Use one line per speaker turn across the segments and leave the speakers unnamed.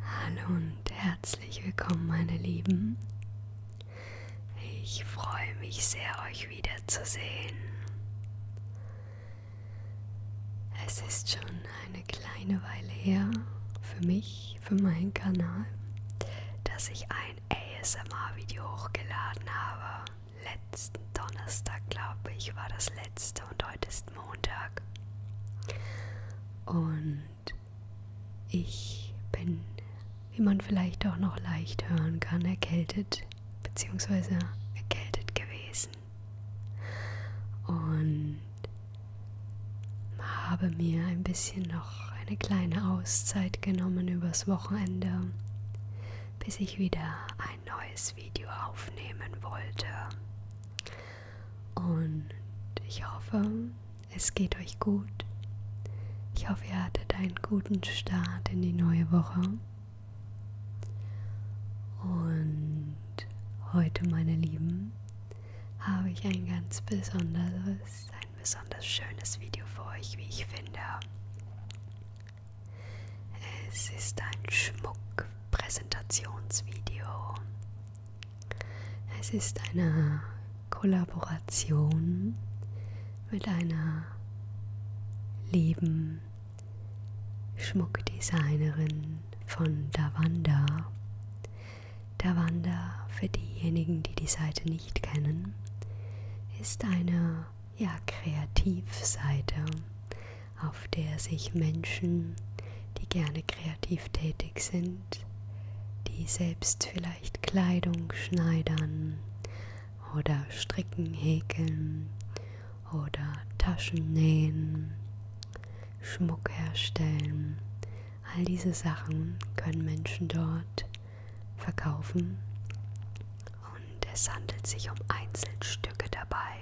Hallo und herzlich willkommen, meine Lieben. Ich freue mich sehr, euch wiederzusehen. Es ist schon eine kleine Weile her für mich, für meinen Kanal, dass ich ein ASMR-Video hochgeladen habe. Letzten Donnerstag, glaube ich, war das letzte und heute ist letzten Montag. Und ich bin, wie man vielleicht auch noch leicht hören kann, erkältet bzw. erkältet gewesen. Und habe mir ein bisschen noch eine kleine Auszeit genommen übers Wochenende, bis ich wieder ein neues Video aufnehmen wollte. Und ich hoffe, es geht euch gut. Ich hoffe, ihr hattet einen guten Start in die neue Woche. Und heute, meine Lieben, habe ich ein ganz besonderes, ein besonders schönes Video für euch, wie ich finde. Es ist ein Schmuck Präsentationsvideo. Es ist eine Kollaboration mit einer lieben Schmuckdesignerin von Davanda. Davanda, für diejenigen, die die Seite nicht kennen, ist eine ja, Kreativseite, auf der sich Menschen, die gerne kreativ tätig sind, die selbst vielleicht Kleidung schneidern oder stricken, häkeln oder Taschen nähen, Schmuck herstellen, all diese Sachen können Menschen dort verkaufen und es handelt sich um Einzelstücke dabei.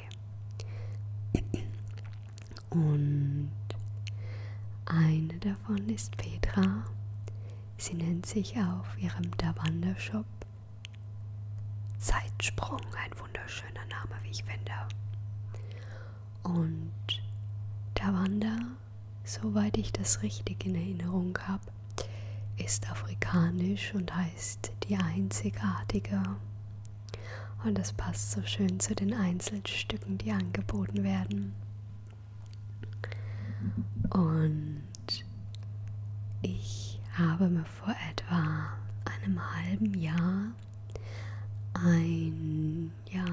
Und eine davon ist Petra. Sie nennt sich auf ihrem Davanda-Shop Zeitsprung, ein wunderschöner Name, wie ich finde. Und Davanda, soweit ich das richtig in Erinnerung habe, ist afrikanisch und heißt die einzigartige und das passt so schön zu den Einzelstücken, die angeboten werden. Und ich habe mir vor etwa einem halben Jahr ein, ja,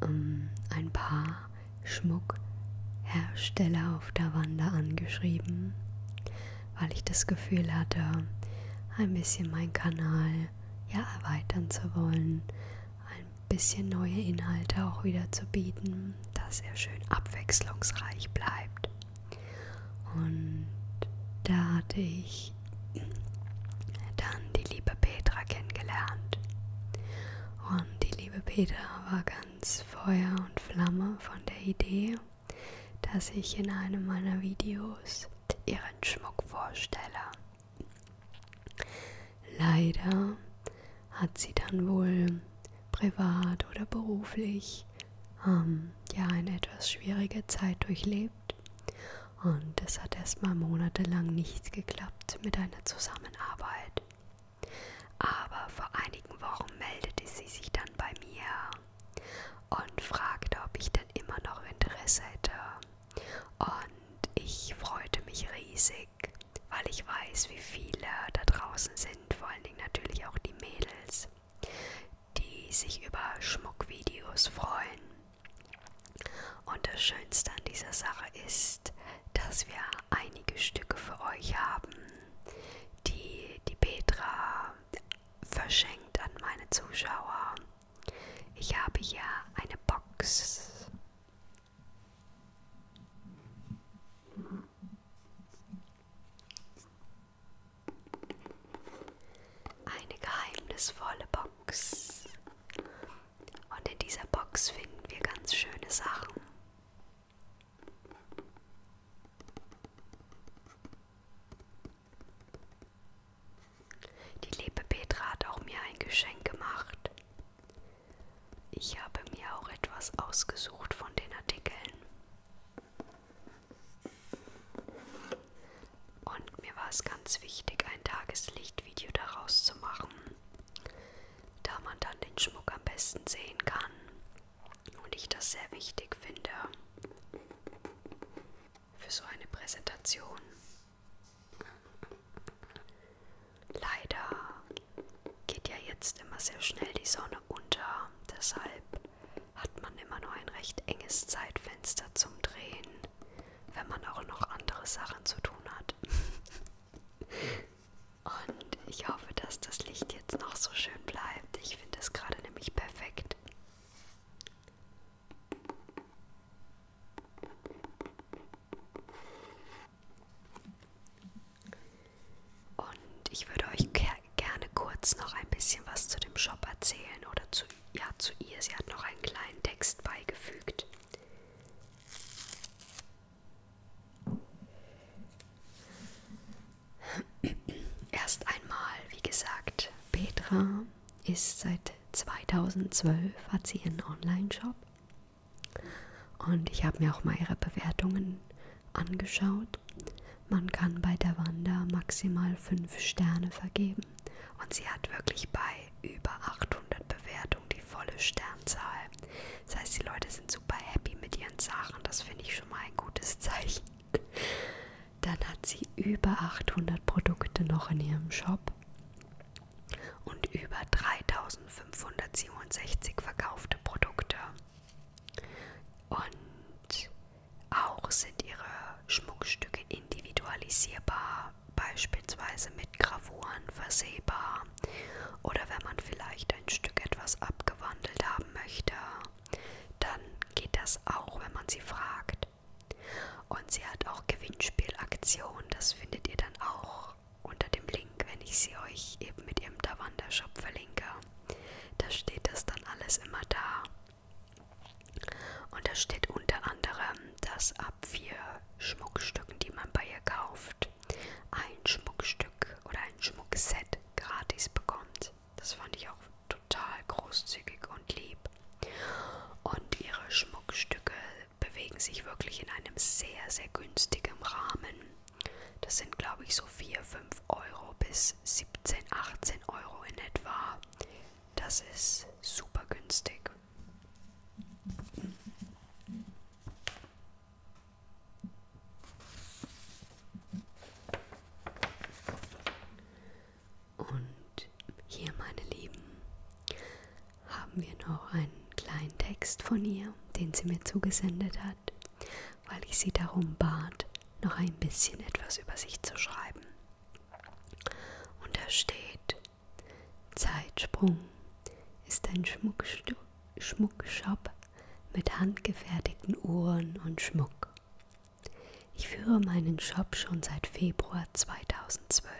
um, ähm, ein paar Schmuckhersteller auf der Wander angeschrieben weil ich das Gefühl hatte, ein bisschen meinen Kanal ja erweitern zu wollen, ein bisschen neue Inhalte auch wieder zu bieten, dass er schön abwechslungsreich bleibt. Und da hatte ich dann die liebe Petra kennengelernt. Und die liebe Petra war ganz Feuer und Flamme von der Idee dass ich in einem meiner Videos ihren Schmuck vorstelle. Leider hat sie dann wohl privat oder beruflich ähm, ja eine etwas schwierige Zeit durchlebt und es hat erstmal monatelang nicht geklappt mit einer Zusammenarbeit. Aber vor einigen Wochen meldete sie sich dann bei mir und fragte, ob ich denn immer noch Interesse hätte. Und ich freute mich riesig, weil ich weiß, wie viele da draußen sind, vor allen Dingen natürlich auch die Mädels, die sich über Schmuckvideos freuen. Und das Schönste an dieser Sache ist, dass wir einige Stücke für euch haben, die die Petra verschenkt an meine Zuschauer. Ich habe hier eine Box. Eine geheimnisvolle Box. Und in dieser Box finden wir ganz schöne Sachen. Die liebe Petra hat auch mir ein Geschenk gemacht. Ich habe mir auch etwas ausgesucht von den Artikeln. Und mir war es ganz wichtig, ein Tageslichtvideo daraus zu machen, da man dann den Schmuck am besten sehen kann. Und ich das sehr wichtig finde für so eine Präsentation. Leider geht ja jetzt immer sehr schnell die Sonne unter, deshalb hat man immer nur ein recht enges Zeitfenster zum Drehen, wenn man auch noch andere Sachen zu tun hat. Und ich hoffe, dass das Licht jetzt noch so schön bleibt. Ich finde es gerade nämlich perfekt. Und ich würde euch gerne kurz noch ein bisschen was zu dem Shop erzählen oder zu, ja, zu ihr. Sie hat noch einen kleinen Text beigefügt. Erst einmal, wie gesagt, Petra ist seit 2012 hat sie ihren Online-Shop und ich habe mir auch mal ihre Bewertungen angeschaut. Man kann bei der Wanda maximal 5 Sterne vergeben und sie hat wirklich bei über 800 Bewertungen die volle Sternzahl. Das heißt, die Leute sind super happy mit ihren Sachen. Das finde ich schon mal ein gutes Zeichen. Dann hat sie über 800 Produkte noch in ihrem Shop und über 3567 verkaufte Produkte. Und auch sind ihre Schmuckstücke individualisierbar, beispielsweise mit Gravuren versehbar oder wenn man vielleicht ein Stück etwas abgewandelt haben möchte dann geht das auch, wenn man sie fragt. Und sie hat auch Gewinnspielaktionen, das findet ihr dann auch unter dem Link, wenn ich sie euch eben mit ihrem Davanda-Shop verlinke. Da steht das dann alles immer da. Und da steht unter anderem, dass ab vier Schmuckstücken, die man bei ihr kauft, ein Schmuckstück oder ein Schmuckset gratis bekommt. Das fand ich auch total großzügig und lieb. Und ihre Schmuckstücke bewegen sich wirklich in einem sehr, sehr günstigen Rahmen. Das sind, glaube ich, so 4, 5 Euro bis 17, 18 Euro in etwa. Das ist super günstig. Und hier, meine Lieben, haben wir noch einen kleinen Text von ihr, den sie mir zugesendet hat, weil ich sie darum bat, noch ein bisschen etwas über sich zu schreiben. Und da steht, Zeitsprung ist ein Schmuckstu Schmuckshop mit handgefertigten Uhren und Schmuck. Ich führe meinen Shop schon seit Februar 2012.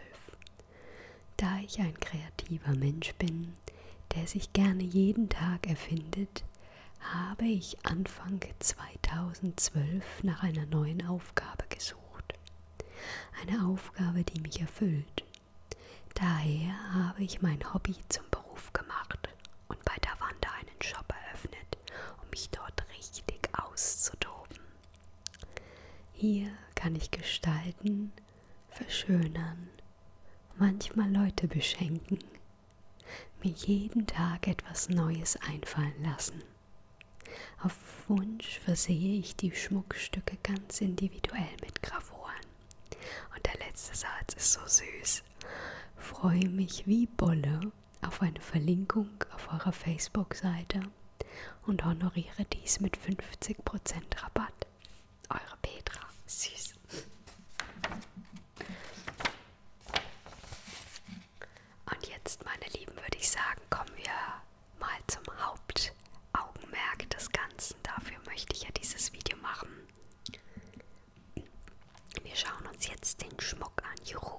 Da ich ein kreativer Mensch bin, der sich gerne jeden Tag erfindet, habe ich Anfang 2012 nach einer neuen Aufgabe gesucht. Eine Aufgabe, die mich erfüllt. Daher habe ich mein Hobby zum Beruf gemacht und bei Davanda einen Shop eröffnet. Welt, um mich dort richtig auszutoben. Hier kann ich gestalten, verschönern, manchmal Leute beschenken, mir jeden Tag etwas Neues einfallen lassen. Auf Wunsch versehe ich die Schmuckstücke ganz individuell mit Gravuren. Und der letzte Satz ist so süß. Freue mich wie Bolle auf eine Verlinkung auf eurer Facebook-Seite und honoriere dies mit 50% Rabatt. Eure Petra, süß. Und jetzt, meine Lieben, würde ich sagen, kommen wir mal zum Hauptaugenmerk des Ganzen. Dafür möchte ich ja dieses Video machen. Wir schauen uns jetzt den Schmuck an. Juhu!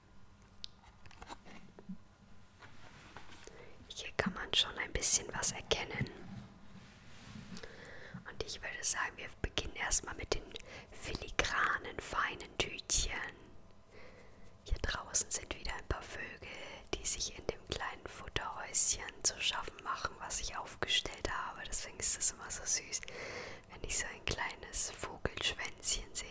Hier kann man schon ein bisschen was erkennen. Und ich würde sagen, wir beginnen erstmal mit den filigranen, feinen Tütchen. Hier draußen sind wieder ein paar Vögel, die sich in dem kleinen Futterhäuschen zu schaffen machen, was ich aufgestellt habe. Deswegen ist es immer so süß, wenn ich so ein kleines Vogelschwänzchen sehe.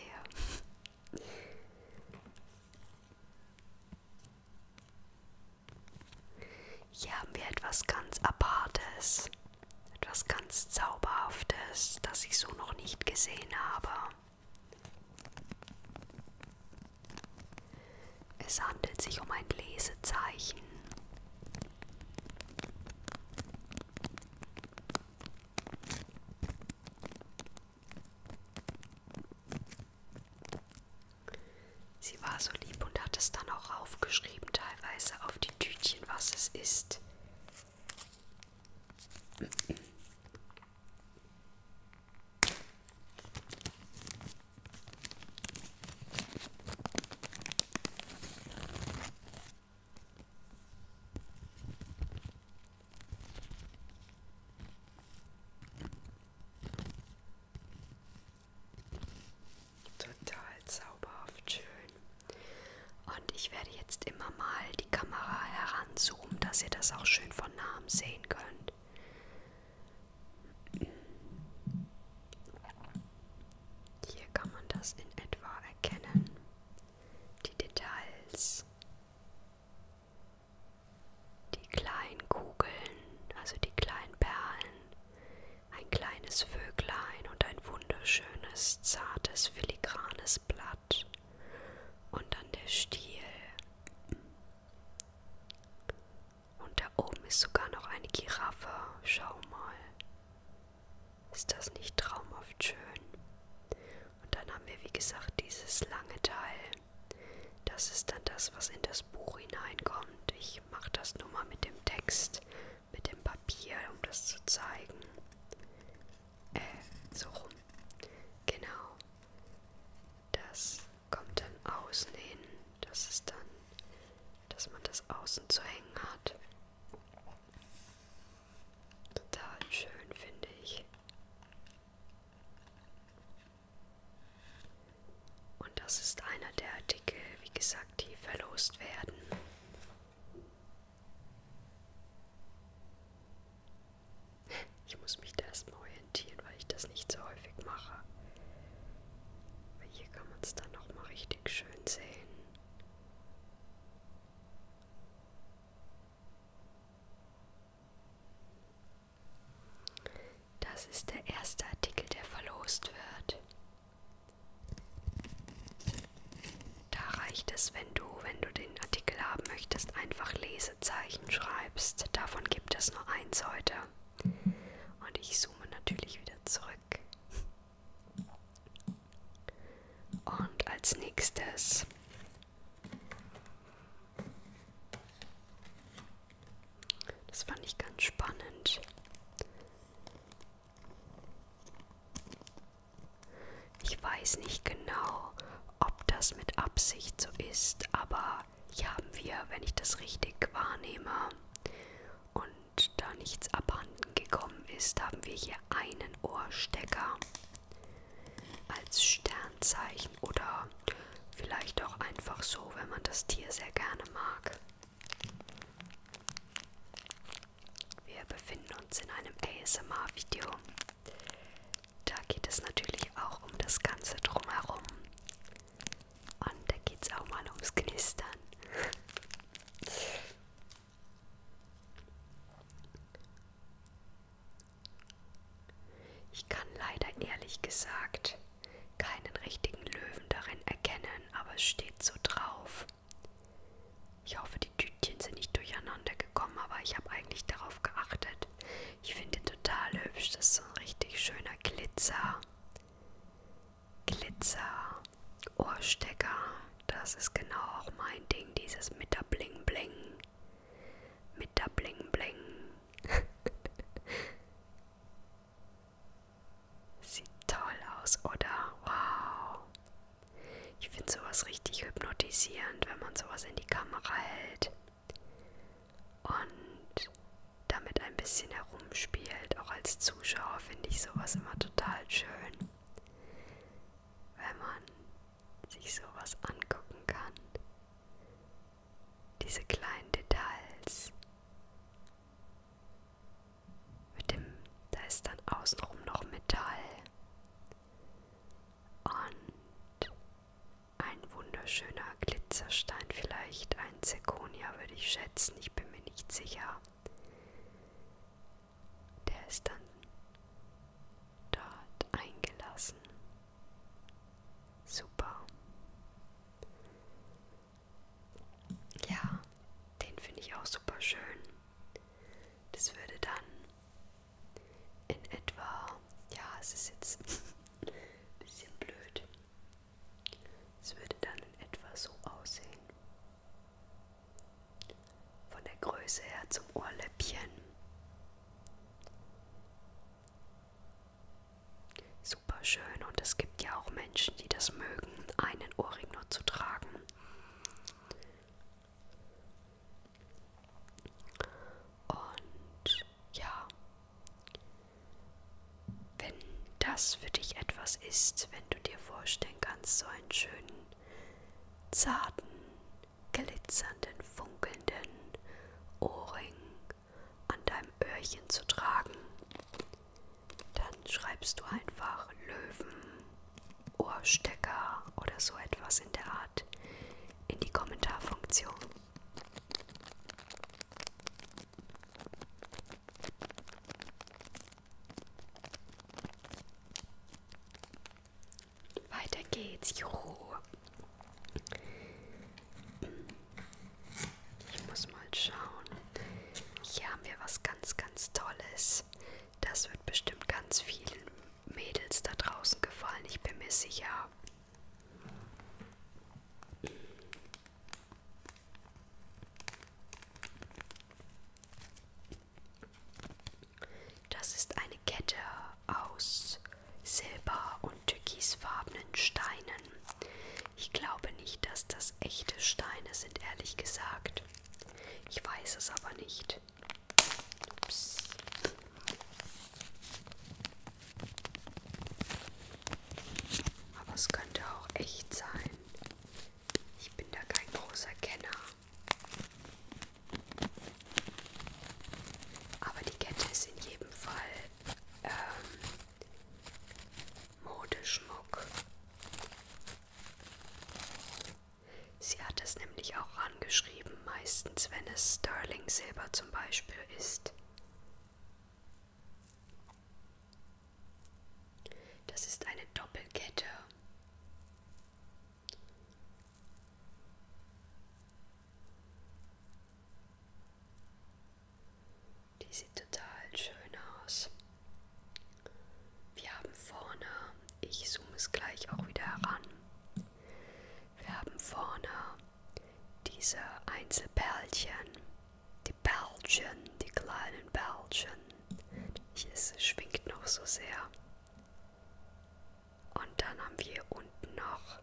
Hier haben wir etwas ganz Apartes, etwas ganz Zauberhaftes, das ich so noch nicht gesehen habe. Es handelt sich um ein Lesezeichen. Sie war so lieb und hat es dann auch aufgeschrieben, teilweise auf die Tütchen, was es ist. Total zauberhaft schön. Und ich werde jetzt immer mal die Kamera heranzoomen, dass ihr das auch schön von nahem sehen könnt. Hier kann man das in etwa erkennen die Details, die kleinen Kugeln, also die kleinen Perlen, ein kleines Vöglein und ein wunderschönes, zartes, filigranes Blatt und dann der Stiel. Und da oben ist sogar noch eine Giraffe, schau mal. Ist das nicht traumhaft schön? Und dann haben wir, wie gesagt, dieses lange Teil. Das ist dann das, was in das Buch hineinkommt. Ich mache das nur mal mit dem Text, mit dem Papier, um das zu zeigen. Äh, so rum. Genau. Das kommt dann außen hin. Das ist dann, dass man das außen zu hängen hat. Total schön, finde ich. Und das ist einer der Artikel, wie gesagt, die verlost werden. Ich muss mich da erstmal orientieren, weil ich das nicht so häufig mache. Aber hier kann man es dann nochmal richtig schön sehen. Das ist der erste Artikel, der verlost wird. Da reicht es, wenn du, wenn du den Artikel haben möchtest, einfach Lesezeichen schreibst. Davon gibt es nur eins heute. Und ich zoome natürlich wieder zurück. Und als nächstes das fand ich ganz spannend. Ich weiß nicht genau, ob das mit Absicht so ist, aber hier haben wir, wenn ich das richtig wahrnehme und da nichts abhanden gekommen ist, haben wir hier einen Ohrstecker als Sternzeichen oder vielleicht auch einfach so, wenn man das Tier sehr gerne mag. Wir befinden uns in einem ASMR-Video. Da geht es natürlich auch um das Ganze drumherum. Und da geht es auch mal ums Knistern. Ich kann leider ehrlich gesagt keinen richtigen Löwen darin erkennen, aber es steht so drauf. Ich hoffe, die Tütchen sind nicht durcheinander gekommen, aber ich habe eigentlich darauf geachtet. Ich finde ihn total hübsch. Das ist so ein richtig schöner Glitzer. Glitzer. Ohrstecker, das ist genau auch mein Ding, dieses mit der Bling Bling. Mit der Bling Bling. Sieht toll aus, oder? Wow. Ich finde sowas richtig hypnotisierend, wenn man sowas in die Kamera hält und damit ein bisschen herumspielt. Auch als Zuschauer finde ich sowas immer total schön wenn man sich sowas angucken kann. Diese kleinen Details. Mit dem, da ist dann außenrum noch Metall. Und ein wunderschöner Glitzerstein, vielleicht ein Zirconia würde ich schätzen, ich bin mir nicht sicher der ist dann dort eingelassen. Super. Ja, den finde ich auch super schön. Das würde dann in etwa, ja, es ist jetzt ein bisschen blöd. Es würde dann in etwa so aussehen. Von der Größe her zum Ohrläppchen. Super schön und es gibt ja auch Menschen, die das mögen, einen Ohrring nur zu tragen. Und ja, wenn das für dich etwas ist, wenn du dir vorstellen kannst, so einen schönen zarten, glitzernden, funkelnden Ohrring an deinem Öhrchen zu tragen. Dann schreibst du einfach Löwen, Ohrstecker oder so etwas in der Art in die Kommentarfunktion. Weiter geht's. Juhu. Ich muss mal schauen. Hier haben wir was ganz, ganz Tolles. Das wird bestimmt ganz vielen Mädels da draußen gefallen. Ich bin mir sicher. Das ist eine Kette aus silber- und türkisfarbenen Steinen. Ich glaube nicht, dass das echte Steine sind, ehrlich gesagt. Ich weiß es aber nicht. Ups. Aber es könnte auch echt sein. Ich bin da kein großer Kenner. Aber die Kette ist in jedem Fall ähm, Modeschmuck. Sie hat es nämlich auch angeschrieben, meistens wenn es Sterling Silber zum Beispiel ist. Das ist eine Doppelkette. Die sieht total schön aus. Wir haben vorne, ich zoome es gleich auch wieder heran, wir haben vorne diese Einzelperlchen, die Perlchen, die kleinen Perlchen. Es schwingt noch so sehr. Und dann haben wir unten noch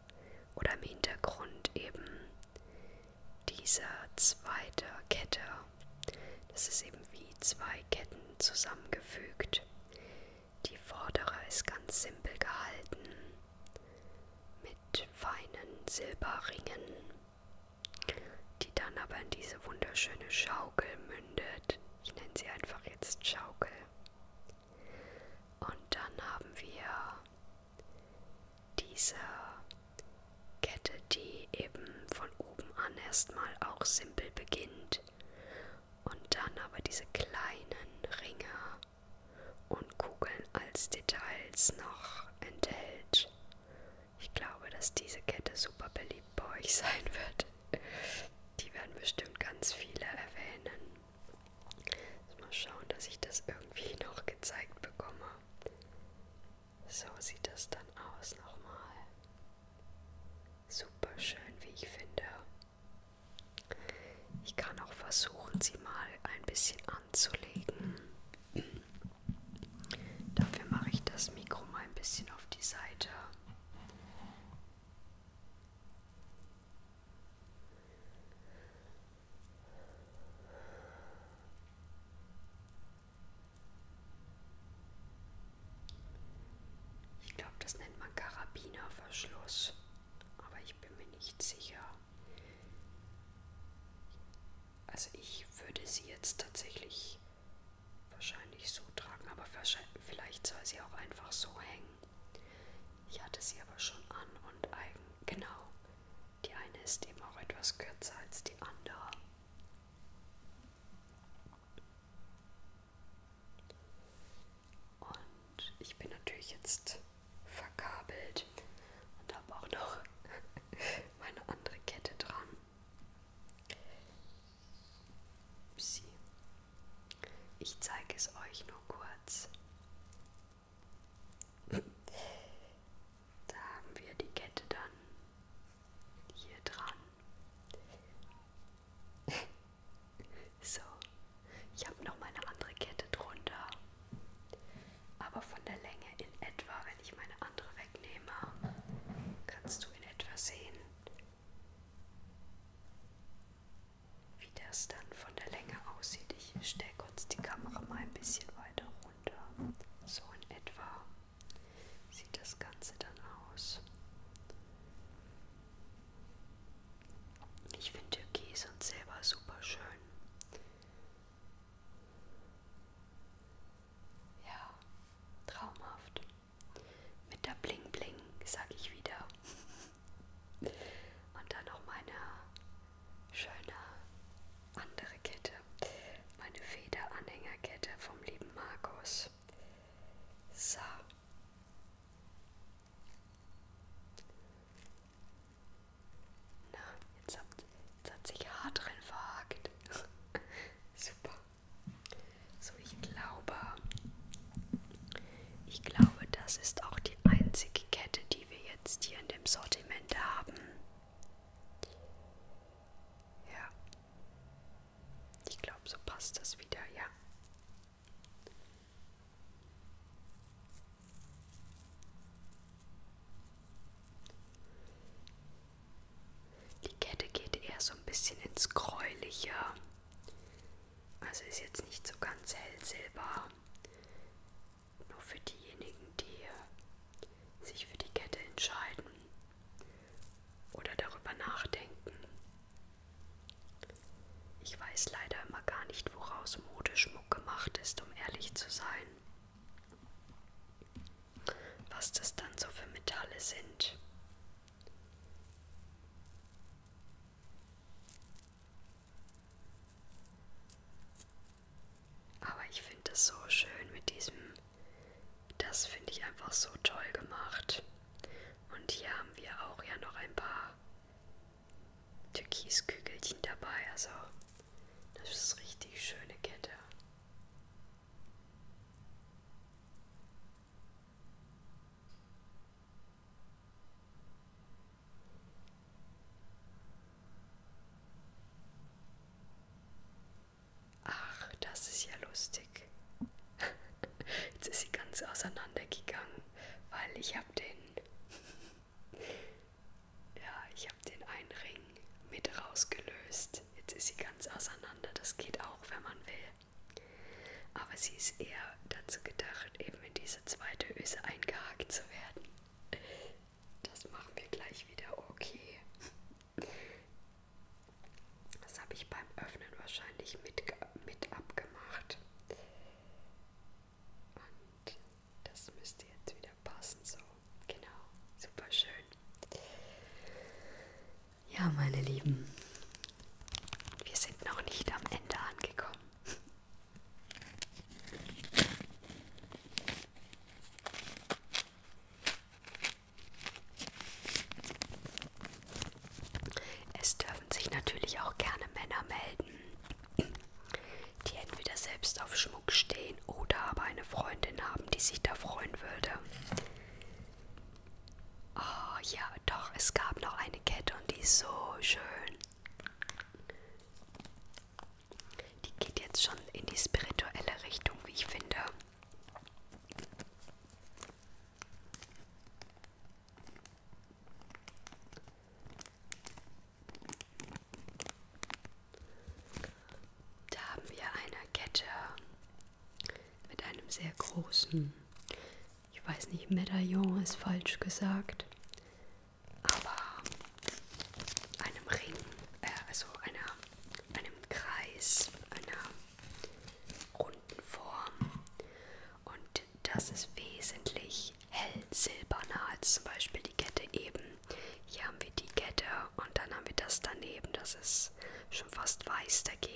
oder im Hintergrund eben diese zweite Kette. Das ist eben wie zwei Ketten zusammengefügt. Die vordere ist ganz simpel gehalten mit feinen Silberringen, die dann aber in diese wunderschöne Schaukel mündet wird. Ich nenne sie einfach jetzt Schaukel. Und dann haben wir diese Kette, die eben von oben an erstmal auch simpel beginnt. Und dann aber diese kleinen Ringe und Kugeln als Details noch enthält. Ich glaube, dass diese Kette super beliebt bei euch sein wird. Die werden bestimmt ganz viele erwähnen. Jetzt mal schauen, dass ich das irgendwie noch gezeigt bekomme. So sieht das dann aus nochmal. Super schön, wie ich finde. Ich kann auch versuchen, sie mal ein bisschen anzulegen. Dafür mache ich das Mikro mal ein bisschen auf die Seite. Ich glaube, das nennt man Karabinerverschluss, aber ich bin mir nicht sicher. Also ich würde sie jetzt tatsächlich wahrscheinlich so tragen, aber vielleicht soll sie auch einfach so hängen. Ich hatte sie aber schon an und eigen. Genau, die eine ist eben auch etwas kürzer als die andere. Und ich bin natürlich jetzt verkabelt und habe auch noch meine andere Kette dran. Upsi. Ich zeige es euch nur kurz. Da haben wir die Kette dann hier dran. so, ich habe noch mal eine andere Kette drunter, aber von der Länge in etwa, wenn ich meine andere wegnehme, kannst du in etwa sehen, wie das dann von der Länge aussieht, ich stelle kurz die Kamera mal ein bisschen weiter runter. So in etwa sieht das Ganze dann aus. Ich finde Türkis und Silber super schön. Ja, traumhaft. Mit der Bling Bling, sag ich wieder. Und dann noch meine schöne andere Kette. Meine Federanhängerkette vom lieben Markus. So. Na, jetzt hat, jetzt hat sich hart drin verhakt. Super. So, ich glaube, ich glaube, das ist auch die einzige Kette, die wir jetzt hier in dem Sortiment haben. Ja, ich glaube, so passt das wieder, ja. Die Kette geht eher so ein bisschen ins Gräuliche. Also ist jetzt nicht so ganz hellsilber. Nur für diejenigen, die sich für die Kette entscheiden oder darüber nachdenken. Ich weiß leider immer gar nicht, woraus Modeschmuck gemacht ist, um ehrlich zu sein. Was das dann so für Metalle sind. Aber ich finde es so schön mit diesem. Das finde ich einfach so toll gemacht. Und hier haben wir auch ja noch ein paar Türkiskügelchen dabei. Also, das ist richtig schöne Kette. Ach, das ist ja lustig. Jetzt ist sie ganz auseinandergegangen, weil ich habe den, ja, ich habe den einen Ring mit rausgelöst. Jetzt ist sie ganz auseinander. Das geht auch, wenn man will. Aber sie ist eher dazu gedacht, eben in diese zweite Öse eingehakt zu werden. Das machen wir gleich wieder okay. Das habe ich beim Öffnen wahrscheinlich mit, mit abgemacht. Und das müsste jetzt wieder passen, so. Genau, super schön. Ja, meine Lieben, wir sind noch nicht am Ende angekommen. Es dürfen sich natürlich auch gerne Männer melden, die entweder selbst auf Schmuck stehen oder aber eine Freundin haben, die sich da freuen würde. Oh ja, doch, es gab noch eine Kette und die ist so schön. Die geht jetzt schon in die spirituelle Richtung, wie ich finde. Da haben wir eine Kette mit einem sehr großen, ich weiß nicht, Medaillon ist falsch gesagt, aber einem Ring, äh, also einer, einem Kreis, einer runden Form. Und das ist wesentlich hellsilberner als zum Beispiel die Kette eben. Hier haben wir die Kette und dann haben wir das daneben, das ist schon fast weiß dagegen.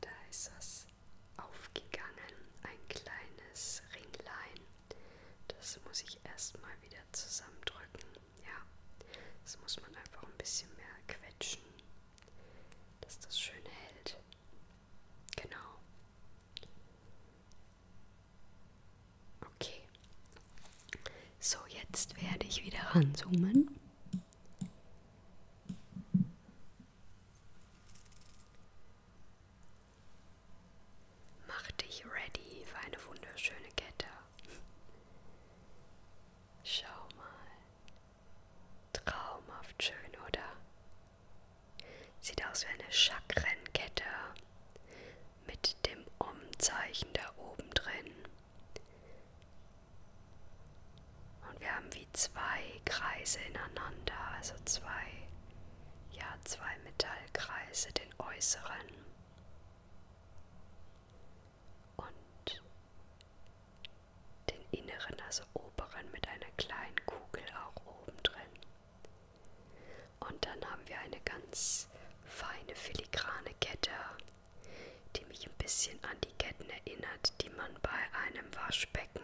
Da ist das aufgegangen, ein kleines Ringlein. Das muss ich erstmal wieder zusammendrücken. Ja, das muss man einfach ein bisschen mehr quetschen, dass das schön hält. Genau. Okay. So, jetzt werde ich wieder ranzoomen. Mach dich ready für eine wunderschöne Kette. Schau mal. Traumhaft schön, oder? Sieht aus wie eine Chakrenkette mit dem Om-Zeichen da oben drin. Und wir haben wie zwei Kreise ineinander, also zwei, ja, zwei Metallkreise, den äußeren und den inneren, also oberen mit einer kleinen Kugel auch oben drin. Und dann haben wir eine ganz feine filigrane Kette die mich ein bisschen an die Ketten erinnert, die man bei einem Waschbecken,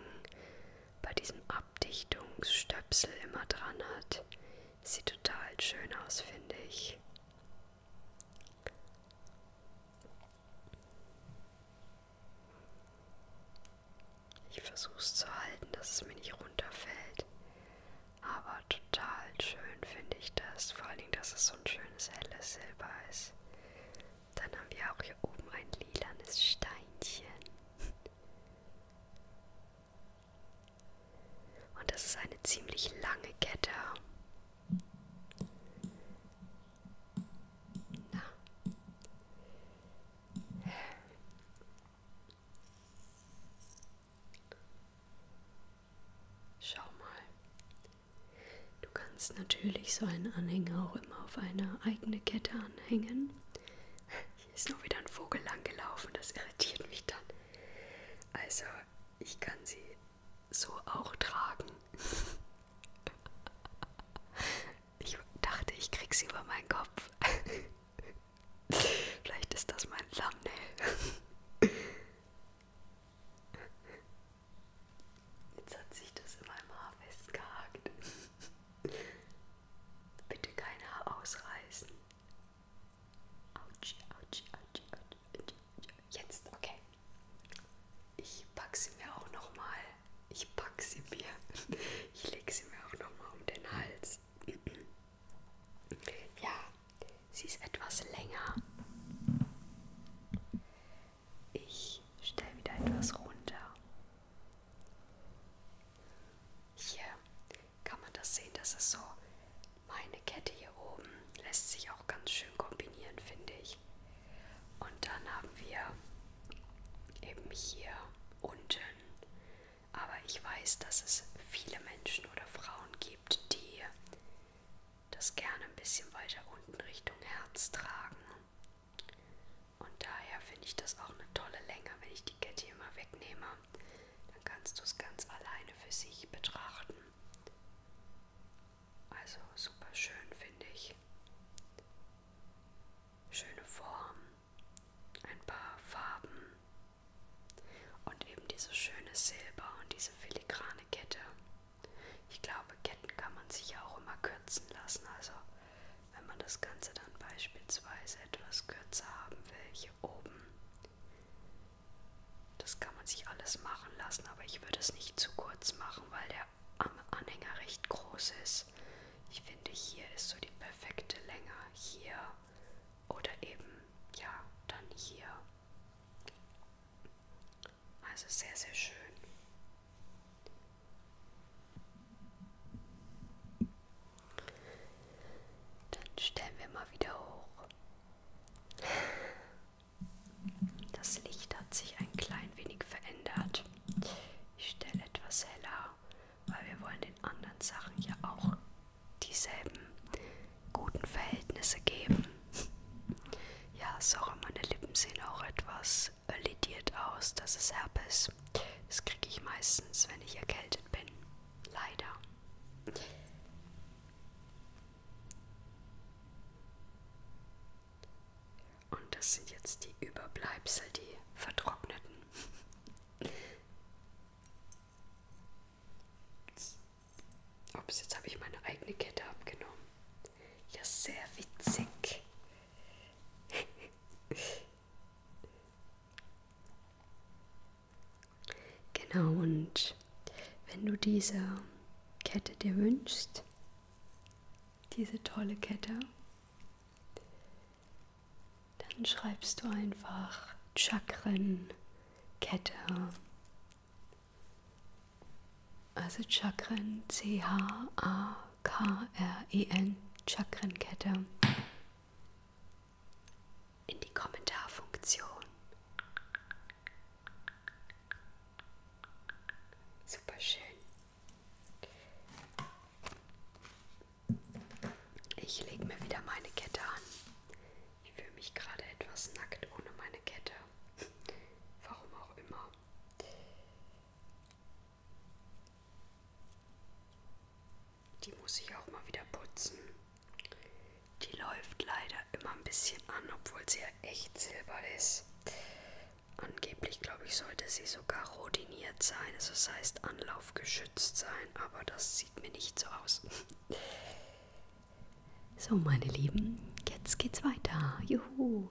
bei diesem Abdichtungsstöpsel immer dran hat. Sieht total schön aus, finde ich. Ich versuche es zu halten, dass es mir nicht runterfällt. Aber total schön finde ich das. Vor allen Dingen, dass es so so ein schönes helles Silber ist. Dann haben wir auch hier oben ein lilanes Steinchen. Und das ist eine ziemlich lange Kette. Na. Schau mal. Du kannst natürlich so einen Anhänger auch immer auf eine eigene Kette anhängen. Hier ist noch wieder ein Vogel langgelaufen, das irritiert mich dann. Also, ich kann sie so auch tragen. Ich dachte, ich krieg sie über meinen Kopf. Vielleicht ist das mein Thumbnail. Jetzt hat sich das in meinem Haar festgehakt. Bitte kein Haar ausreißen. Autsch, autsch, autsch, autsch, autsch. Jetzt, okay. Ich packe sie mir auch nochmal. Ich packe sie mir. Ich lege sie mir auch nochmal um den Hals. Ja, Sie ist etwas länger. Ich stelle wieder etwas runter. Hier kann man das sehen, das ist so. Meine Kette hier oben lässt sich auch ganz schön kombinieren, finde ich. Und dann haben wir eben hier unten. Aber ich weiß, dass es viele Menschen oder Frauen gibt, die das gerne ein bisschen weiter unten Richtung Herz tragen. Und daher finde ich das auch eine tolle Länge, wenn ich die Kette hier mal wegnehme. Dann kannst du es ganz alleine für sich betrachten. Also super schön finde ich. Schöne Form, ein paar Farben und eben dieses schöne Silber und diese filigrane Kette. Ich glaube, Ketten kann man sich auch immer kürzen lassen. Also wenn man das Ganze dann beispielsweise etwas kürzer haben will, hier oben. Das kann man sich alles machen lassen, aber ich würde es nicht zu kurz machen, weil der Anhänger recht groß ist. Ich finde, hier ist so die perfekte Länge. Hier oder eben, ja, dann hier. Also sehr, sehr schön. Dann stellen wir mal wieder hoch. Das Licht hat sich ein klein wenig verändert. Ich stelle etwas heller, weil wir wollen den anderen Sachen ja auch dieselben guten Verhältnisse geben. Ja, sorry, meine Lippen sehen auch etwas äh, lidiert aus. Das ist Herpes. Das kriege ich meistens, wenn ich erkältet bin. Leider. Und das sind jetzt die Überbleibsel, die vertrockneten. Ups, jetzt habe ich meine eigene Kette abgenommen. Ja, sehr witzig. genau, und wenn du diese Kette dir wünschst, diese tolle Kette, dann schreibst du einfach Chakrenkette also Chakren, C-H-A-K-R-E-N, Chakrenkette. In die Kommentarfunktion. Super schön. Ich lege mir wieder meine Kette an. Ich fühle mich gerade etwas nackt ohne meine Kette. Warum auch immer. Die muss ich auch mal wieder putzen. Die läuft leider immer ein bisschen an, obwohl sie ja echt silber ist. Angeblich, glaube ich, sollte sie sogar rodiniert sein, also das heißt anlaufgeschützt sein, aber das sieht mir nicht so aus. So, meine Lieben, jetzt geht's weiter. Juhu!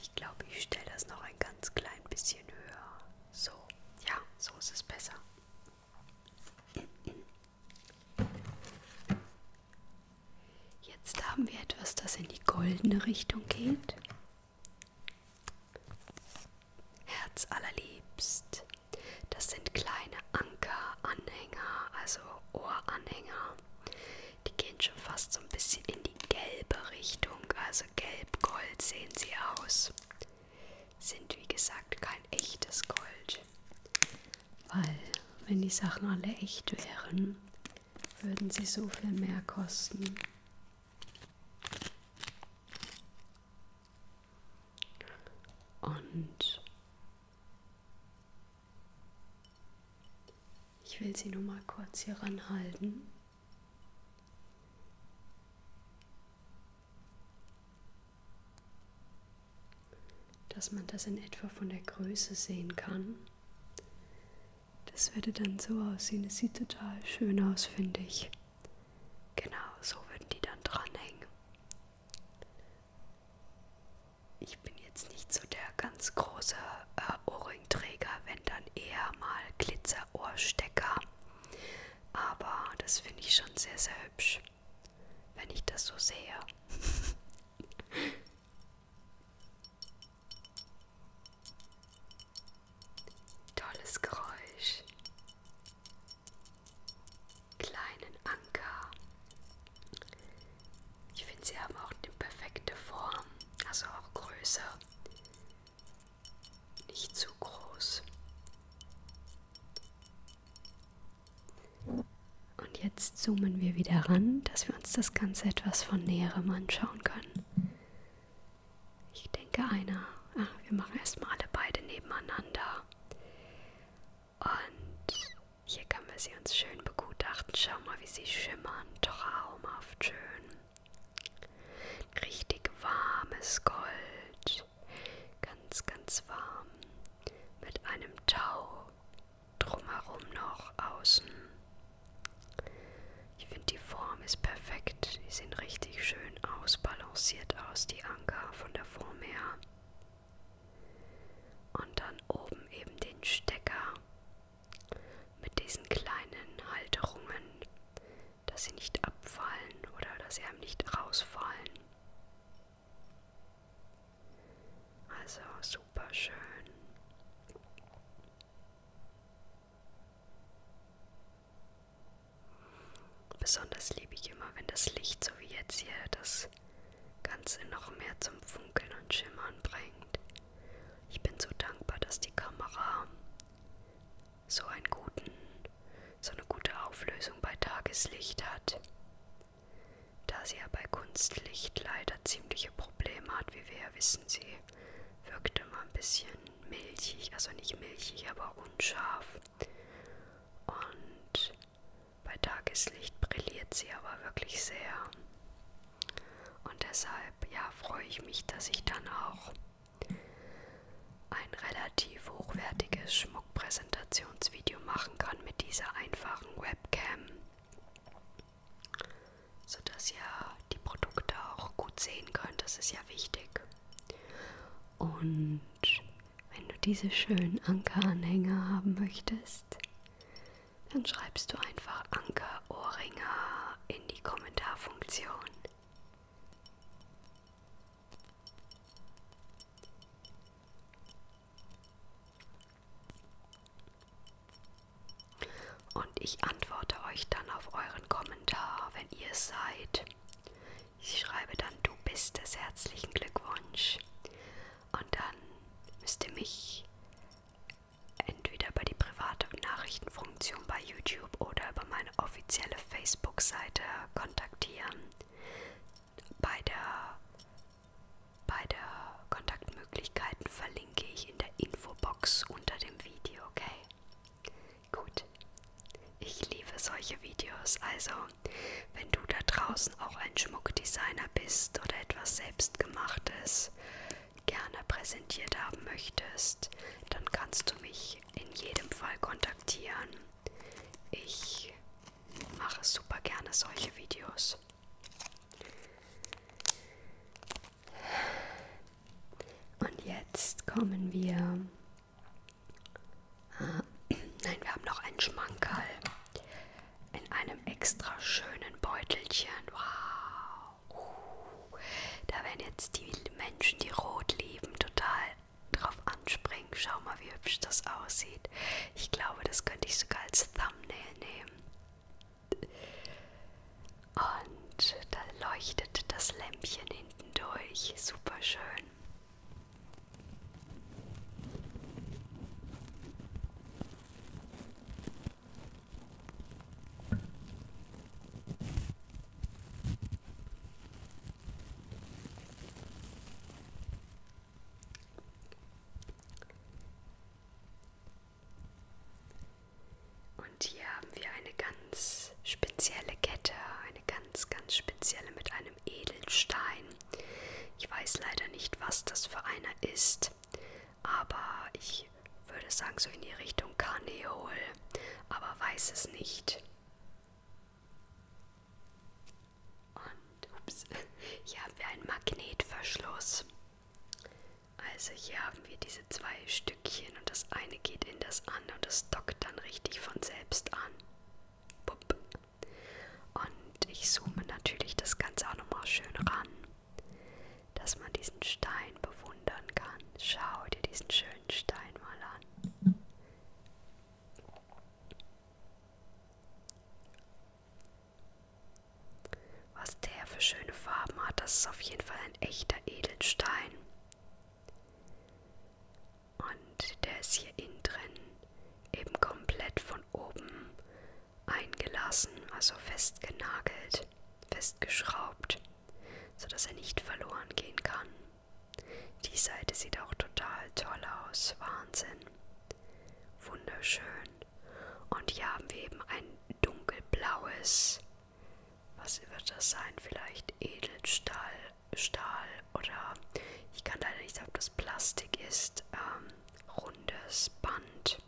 Ich glaube, ich stelle das noch ein ganz klein bisschen höher. So, ja, so ist es besser. Jetzt haben wir etwas, das in die goldene Richtung geht. Herz allerliebst. Das sind kleine Ankeranhänger, also Ohranhänger. Die gehen schon fast so ein bisschen in die gelbe Richtung, also gelb-gold sehen sie aus. Sind wie gesagt kein echtes Gold. Weil, wenn die Sachen alle echt wären, würden sie so viel mehr kosten. Und ich will sie nur mal kurz hier ranhalten. Dass man das in etwa von der Größe sehen kann. Das würde dann so aussehen. Es sieht total schön aus, finde ich. Genau, so würden die dann dranhängen. Ich bin jetzt nicht so der ganz große äh, Ohrringträger, wenn dann eher mal Glitzerohrstecker. Aber das finde ich schon sehr, sehr hübsch, wenn ich das so sehe. Tolles Geräusch kleinen Anker. Ich finde, sie haben auch die perfekte Form, also auch Größe. Nicht zu groß. Und jetzt zoomen wir wieder ran, dass wir uns das Ganze etwas von näherem anschauen können. Ich denke, einer. Ach, wir machen erstmal alle beide nebeneinander. Und hier können wir sie uns schön begutachten. Schau mal, wie sie schimmern. Traumhaft schön. Richtig warmes Gold. Ganz, ganz warm. Mit einem Tau drumherum noch außen. Ich finde die Form ist perfekt. Die sehen richtig schön ausbalanciert aus, die Anker von der Form her. Und dann oben eben den Stecker mit diesen kleinen Halterungen, dass sie nicht abfallen oder dass sie einem nicht rausfallen. Also super schön. Besonders liebe ich immer, wenn das Licht, so wie jetzt hier, das Ganze noch mehr zum Funkeln und Schimmern bringt. Ich bin so dankbar, dass die Kamera so einen guten, so eine gute Auflösung bei Tageslicht hat. Da sie ja bei Kunstlicht leider ziemliche Probleme hat, wie wir ja wissen, sie wirkt immer ein bisschen milchig, also nicht milchig, aber unscharf. Und bei Tageslicht brilliert sie aber wirklich sehr. Und deshalb, ja, freue ich mich, dass ich dann auch ein relativ hochwertiges Schmuckpräsentationsvideo machen kann mit dieser einfachen Webcam, sodass ihr die Produkte auch gut sehen könnt. Das ist ja wichtig. Und wenn du diese schönen Anker-Anhänger haben möchtest, dann schreibst du einfach Anker-Ohrringer in die Kommentarfunktion. Und ich antworte euch dann auf euren Kommentar, wenn ihr es seid. Ich schreibe dann, du bist es, herzlichen Glückwunsch. Und dann müsst ihr mich entweder über die private Nachrichtenfunktion bei YouTube oder über meine offizielle Facebook-Seite kontaktieren. Bei der, bei der Kontaktmöglichkeiten verlinke ich in der Infobox unter dem Video, okay? Gut. Ich liebe solche Videos, also wenn du da draußen auch ein Schmuckdesigner bist oder etwas selbstgemachtes gerne präsentiert haben möchtest, dann kannst du mich in jedem Fall kontaktieren. Ich mache super gerne solche Videos. Und jetzt kommen wir Nein, wir haben noch einen Schmankerl in einem extra schönen Beutelchen. Wow. Uh, da werden jetzt die Menschen, die rot lieben, total drauf anspringen. Schau mal, wie hübsch das aussieht. Ich glaube, das könnte ich sogar als Thumbnail nehmen. Und da leuchtet das Lämpchen hinten durch. Super schön. Und hier haben wir eine ganz spezielle Kette, eine ganz, ganz spezielle mit einem einem Edelstein. Ich weiß leider nicht, was das für einer ist, aber ich würde sagen, so in die Richtung Karneol, aber weiß es nicht. Und, ups, hier haben wir einen Magnetverschluss. Also hier haben wir diese zwei Stückchen und das eine geht in das andere und das dockt dann richtig von selbst an. Bupp. Und ich zoome natürlich das Ganze auch nochmal schön ran, dass man diesen Stein bewundern kann. Schau dir diesen schönen Stein mal an. Was der für schöne Farben hat, das ist auf jeden Fall ein echter Edelstein. Und Wind, der ist hier innen drin eben komplett von oben eingelassen, also festgenagelt, festgeschraubt, sodass er nicht verloren gehen kann. Die Seite sieht auch total toll aus, Wahnsinn. Wunderschön. Und hier haben wir eben ein dunkelblaues, was wird das sein? Vielleicht Edelstahl, Stahl, oder ich kann leider nicht sagen, ob das Plastik ist, ähm, rundes Band,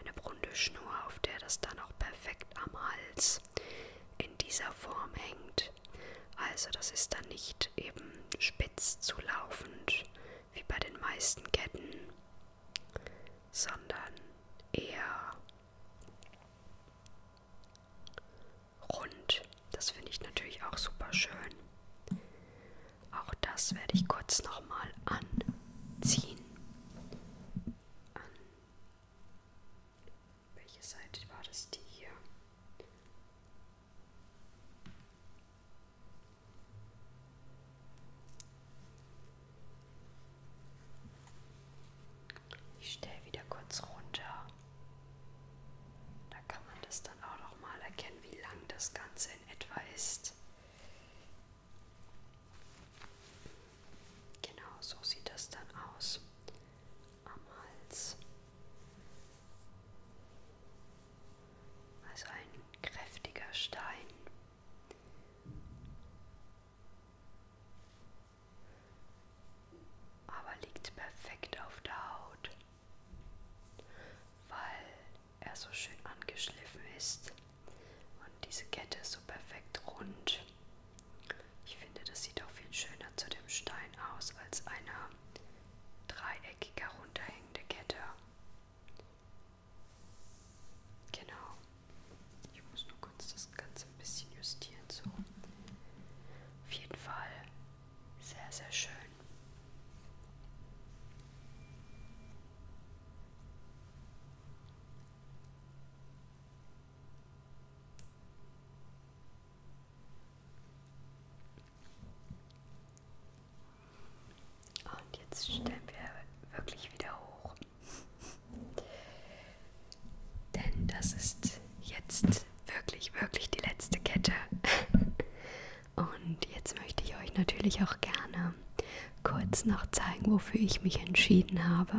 eine runde Schnur, auf der das dann auch perfekt am Hals in dieser Form hängt. Also das ist dann nicht eben spitz zulaufend wie bei den meisten Ketten, sondern eher rund das finde ich natürlich auch super schön. Auch das werde ich kurz nochmal anziehen. An welche Seite war das? Die hier. Ich stelle wieder kurz runter. Da kann man das dann auch noch mal erkennen, wie lang das Ganze in etwa ist. Genau, so sieht das dann aus am Hals. Also ein kräftiger Stein. Aber liegt perfekt auf der Haut weil er so schön angeschliffen ist und diese Kette ist so perfekt rund. Ich finde, das sieht auch viel schöner zu dem Stein aus als eine dreieckig herunterhängende Kette. Genau. Ich muss nur kurz das Ganze ein bisschen justieren. So. Auf jeden Fall sehr, sehr schön. Und jetzt stellen wir wirklich wieder hoch. Denn das ist jetzt wirklich, wirklich die letzte Kette. Und jetzt möchte ich euch natürlich auch gerne kurz noch zeigen, wofür ich mich entschieden habe.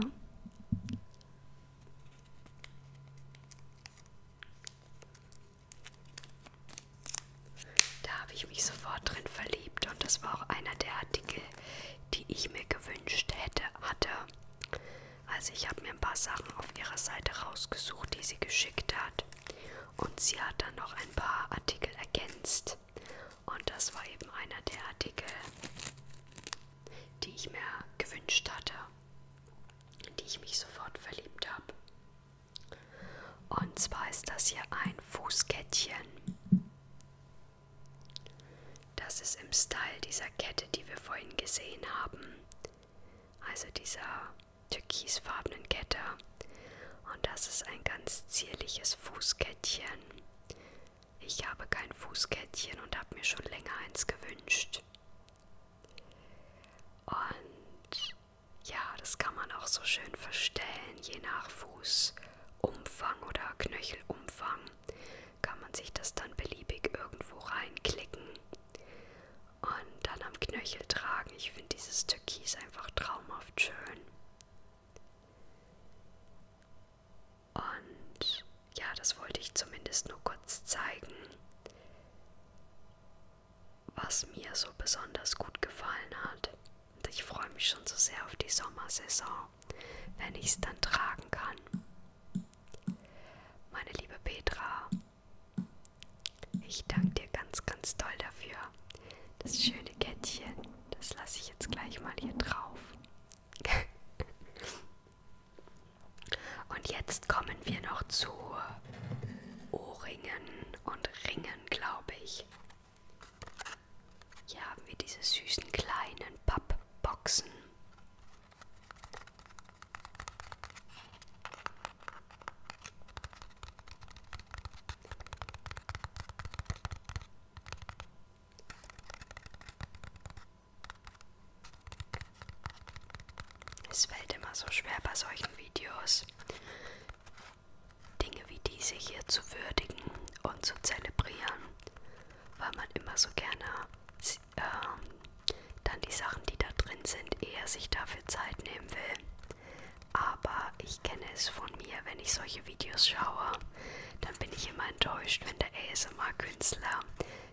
Da habe ich mich sofort drin verliebt und das war auch einer der Artikel, die ich mir gewünscht hätte, hatte. Also ich habe mir ein paar Sachen auf ihrer Seite rausgesucht, die sie geschickt hat. Und sie hat dann noch ein paar Artikel ergänzt. Und das war eben einer der Artikel, die ich mir gewünscht hatte, in die ich mich sofort verliebt habe. Und zwar ist das hier ein Fußkettchen. Das ist im Style dieser Kette, die wir vorhin gesehen haben. Also dieser türkisfarbenen Kette. Und das ist ein ganz zierliches Fußkettchen. Ich habe kein Fußkettchen und habe mir schon länger eins gewünscht. Und ja, das kann man auch so schön verstellen, je nach Fußumfang oder Knöchelumfang kann man sich das dann beliebig irgendwo reinklicken und dann am Knöchel tragen. Ich finde dieses Türkis einfach traumhaft schön. Und ja, das wollte ich zumindest nur kurz zeigen, was mir so besonders gut gefallen hat. Und ich freue mich schon so sehr auf die Sommersaison, wenn ich es dann tragen kann. Meine liebe Petra, ich danke dir ganz, ganz toll dafür. Das schöne Kettchen, das lasse ich jetzt gleich mal hier drauf. und jetzt kommen wir noch zu Ohrringen und Ringen, glaube ich. Hier haben wir diese süßen kleinen Pappboxen. Es fällt immer so schwer bei solchen Videos, Dinge wie diese hier zu würdigen und zu zelebrieren, weil man immer so gerne ähm, dann die Sachen, die da drin sind, eher sich dafür Zeit nehmen will. Aber ich kenne es von mir, wenn ich solche Videos schaue, dann bin ich immer enttäuscht, wenn der ASMR-Künstler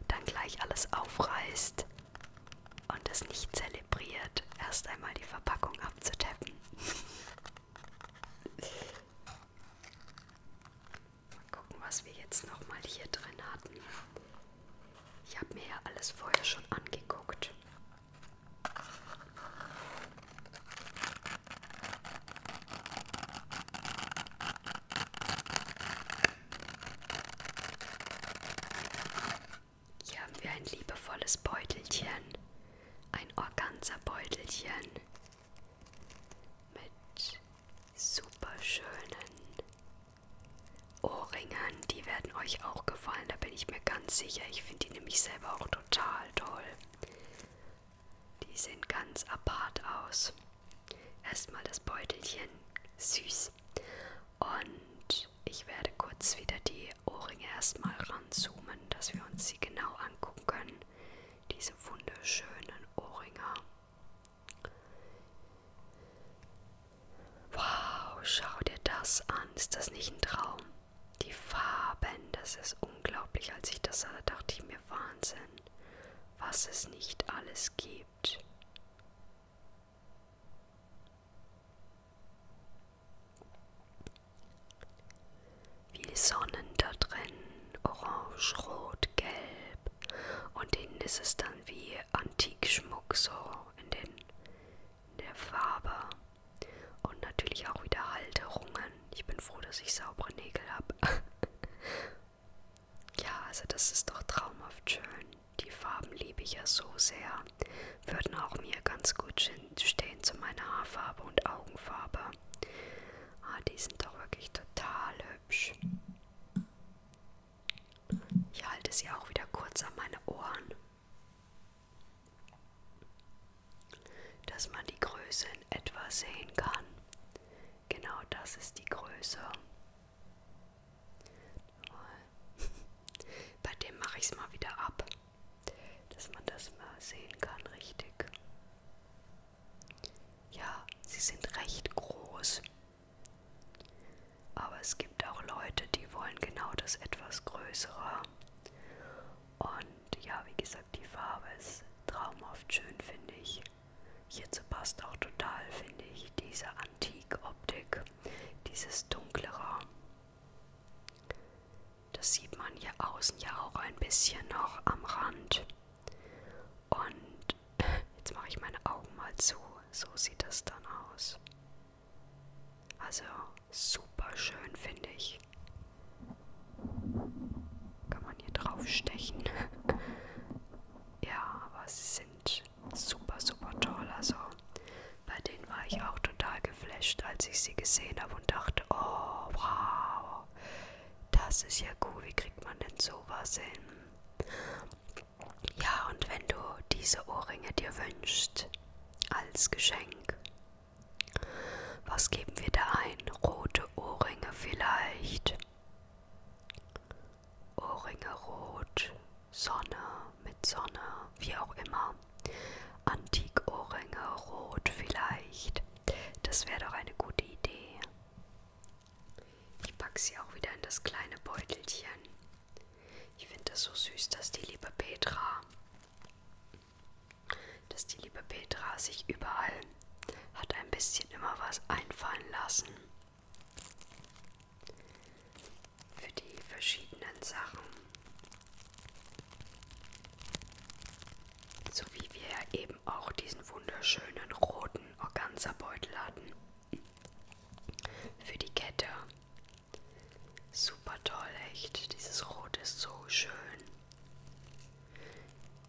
dann gleich alles aufreißt und es nicht zelebriert, erst einmal die Verpackung abzutappen. mal gucken, was wir jetzt nochmal hier drin hatten. Ich habe mir ja alles vorher schon angeguckt. Hier haben wir ein liebevolles Beutelchen, ein Organza-Beutelchen mit super schönen Ohrringen, die werden euch auch gefallen, da bin ich mir ganz sicher. Ich finde die nämlich selber auch total toll. Die sehen ganz apart aus. Erstmal das Beutelchen, süß. Und ich werde kurz wieder die Ohrringe erstmal ranzoomen, dass wir uns sie genau angucken können. Diese wunderschönen Ohrringe. Wow, schau dir das an. Ist das nicht ein Traum? Die Farben, das ist unglaublich. Als ich das sah, dachte ich mir Wahnsinn, was es nicht alles gibt. Wie Sonnen da drin, orange, rot, gelb. Und innen ist es dann wie Antikschmuck so in den der Farbe und natürlich auch wieder Halterungen. Ich bin froh, dass ich saubere Nägel habe. ja, also das ist doch traumhaft schön. Die Farben liebe ich ja so sehr. Würden auch mir ganz gut stehen zu meiner Haarfarbe und Augenfarbe. Ah, die sind doch wirklich total hübsch. Ich halte sie auch wieder kurz an meine Ohren dass man die Größe in etwa sehen kann. Genau das ist die Größe. Bei dem mache ich es mal wieder ab, dass man das mal sehen kann richtig. Ja, sie sind recht groß. Aber es gibt auch Leute, die wollen genau das etwas Größere. Und ja, wie gesagt, die Farbe ist traumhaft schön, finde ich. Hierzu passt auch total, finde ich, diese Antik-Optik, dieses dunklere. Das sieht man hier außen ja auch ein bisschen noch am Rand. Und jetzt mache ich meine Augen mal zu. So sieht das dann aus. Also super schön finde ich. Kann man hier draufstechen. ja, aber sie sind super, super toll. Also bei denen war ich auch total geflasht, als ich sie gesehen habe und dachte, oh wow, das ist ja cool, wie kriegt man denn sowas hin? Ja, und wenn du diese Ohrringe dir wünschst, als Geschenk, was geben wir da ein? Rote Ohrringe vielleicht. Ohrringe rot, Sonne mit Sonne, wie auch immer. Antikohrringe rot vielleicht. Das wäre doch eine gute Idee. Ich packe sie auch wieder in das kleine Beutelchen. Ich finde das so süß, dass die liebe Petra, dass die liebe Petra sich überall hat ein bisschen immer was einfallen lassen. Für die verschiedenen Sachen. So wie wir eben auch diesen wunderschönen roten Organza-Beutel hatten. Für die Kette. Super toll, echt. Dieses Rot ist so schön.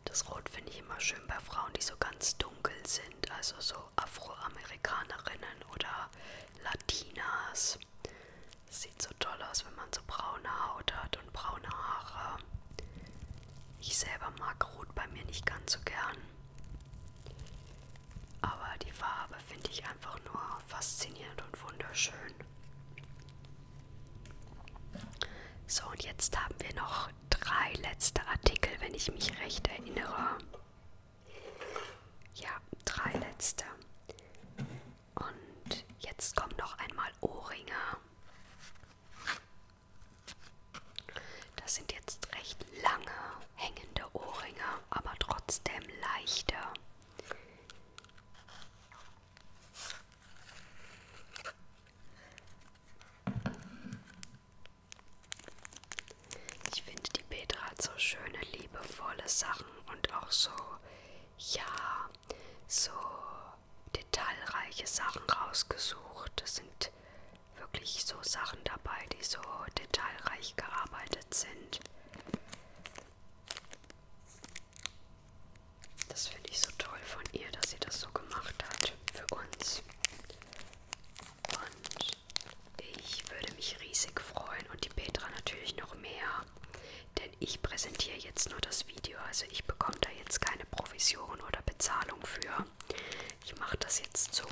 Das Rot finde ich immer schön bei Frauen, die so ganz dunkel sind, also so Afroamerikanerinnen oder Latinas. Das sieht so toll aus, wenn man so braune Haut hat und braune Haare. Ich selber mag Rot bei mir nicht ganz so gern. Aber die Farbe finde ich einfach nur faszinierend und wunderschön. So, und jetzt haben wir noch drei letzte Artikel, wenn ich mich recht erinnere. Ja, drei letzte. Und jetzt kommen noch einmal Ohrringe. Das sind jetzt recht lange hängende Ohrringe, aber trotzdem leichte. Ich finde, die Petra hat so schöne, liebevolle Sachen und auch so, ja, so detailreiche Sachen rausgesucht. Das sind wirklich so Sachen dabei, die so detailreich gearbeitet sind. Das finde ich so toll von ihr, dass sie das so gemacht hat für uns. Und ich würde mich riesig freuen und die Petra natürlich noch mehr, denn ich präsentiere jetzt nur das Video, also ich bekomme da jetzt keine Provision oder Bezahlung für. Ich mache das jetzt so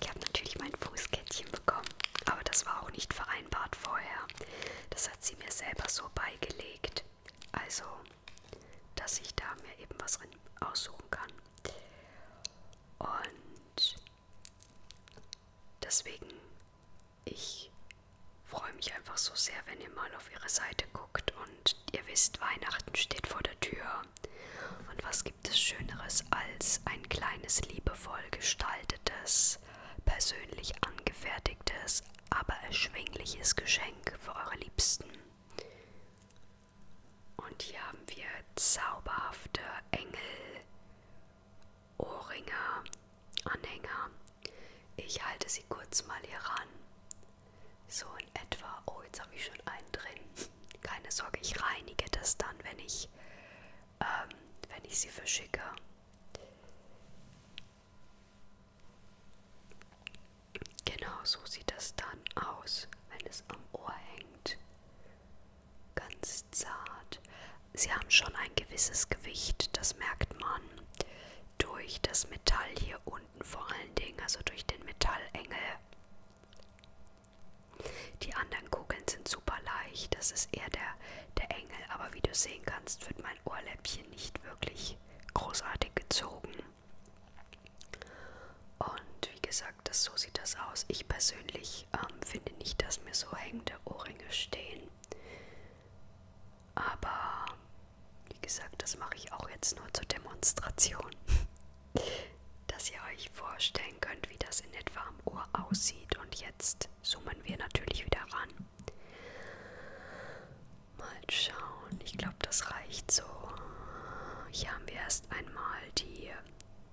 ich habe natürlich mein Fußkettchen bekommen, aber das war auch nicht vereinbart vorher. Das hat sie mir selber so beigelegt. Also, dass ich da mir eben was aussuchen kann. Und deswegen, ich freue mich einfach so sehr, wenn ihr mal auf ihre Seite guckt und ihr wisst, Weihnachten steht vor der Tür. Und was gibt es Schöneres als ein kleines, liebevoll gestaltetes, persönlich angefertigtes, aber erschwingliches Geschenk für eure Liebsten? Und hier haben wir zauberhafte Engel, Ohrringe, Anhänger. Ich halte sie kurz mal hier ran. So in etwa. Oh, jetzt habe ich schon einen drin. Keine Sorge, ich reinige das dann, wenn ich ähm, wenn ich sie verschicke. Genau so sieht das dann aus, wenn es am Ohr hängt. Ganz zart. Sie haben schon ein gewisses Gewicht, das merkt man durch das Metall hier unten vor allen Dingen, also durch den Metallengel. Die anderen Kugeln sind super leicht, das ist eher der, der Engel, aber wie du sehen kannst, wird mein Ohrläppchen nicht wirklich großartig gezogen. Und wie gesagt, das, so sieht das aus. Ich persönlich ähm, finde nicht, dass mir so hängende Ohrringe stehen. Aber wie gesagt, das mache ich auch jetzt nur zur Demonstration. dass ihr euch vorstellen könnt, wie das in etwa am Ohr aussieht. Und jetzt zoomen wir natürlich wieder ran. Mal schauen, ich glaube, das reicht so. Hier haben wir erst einmal die,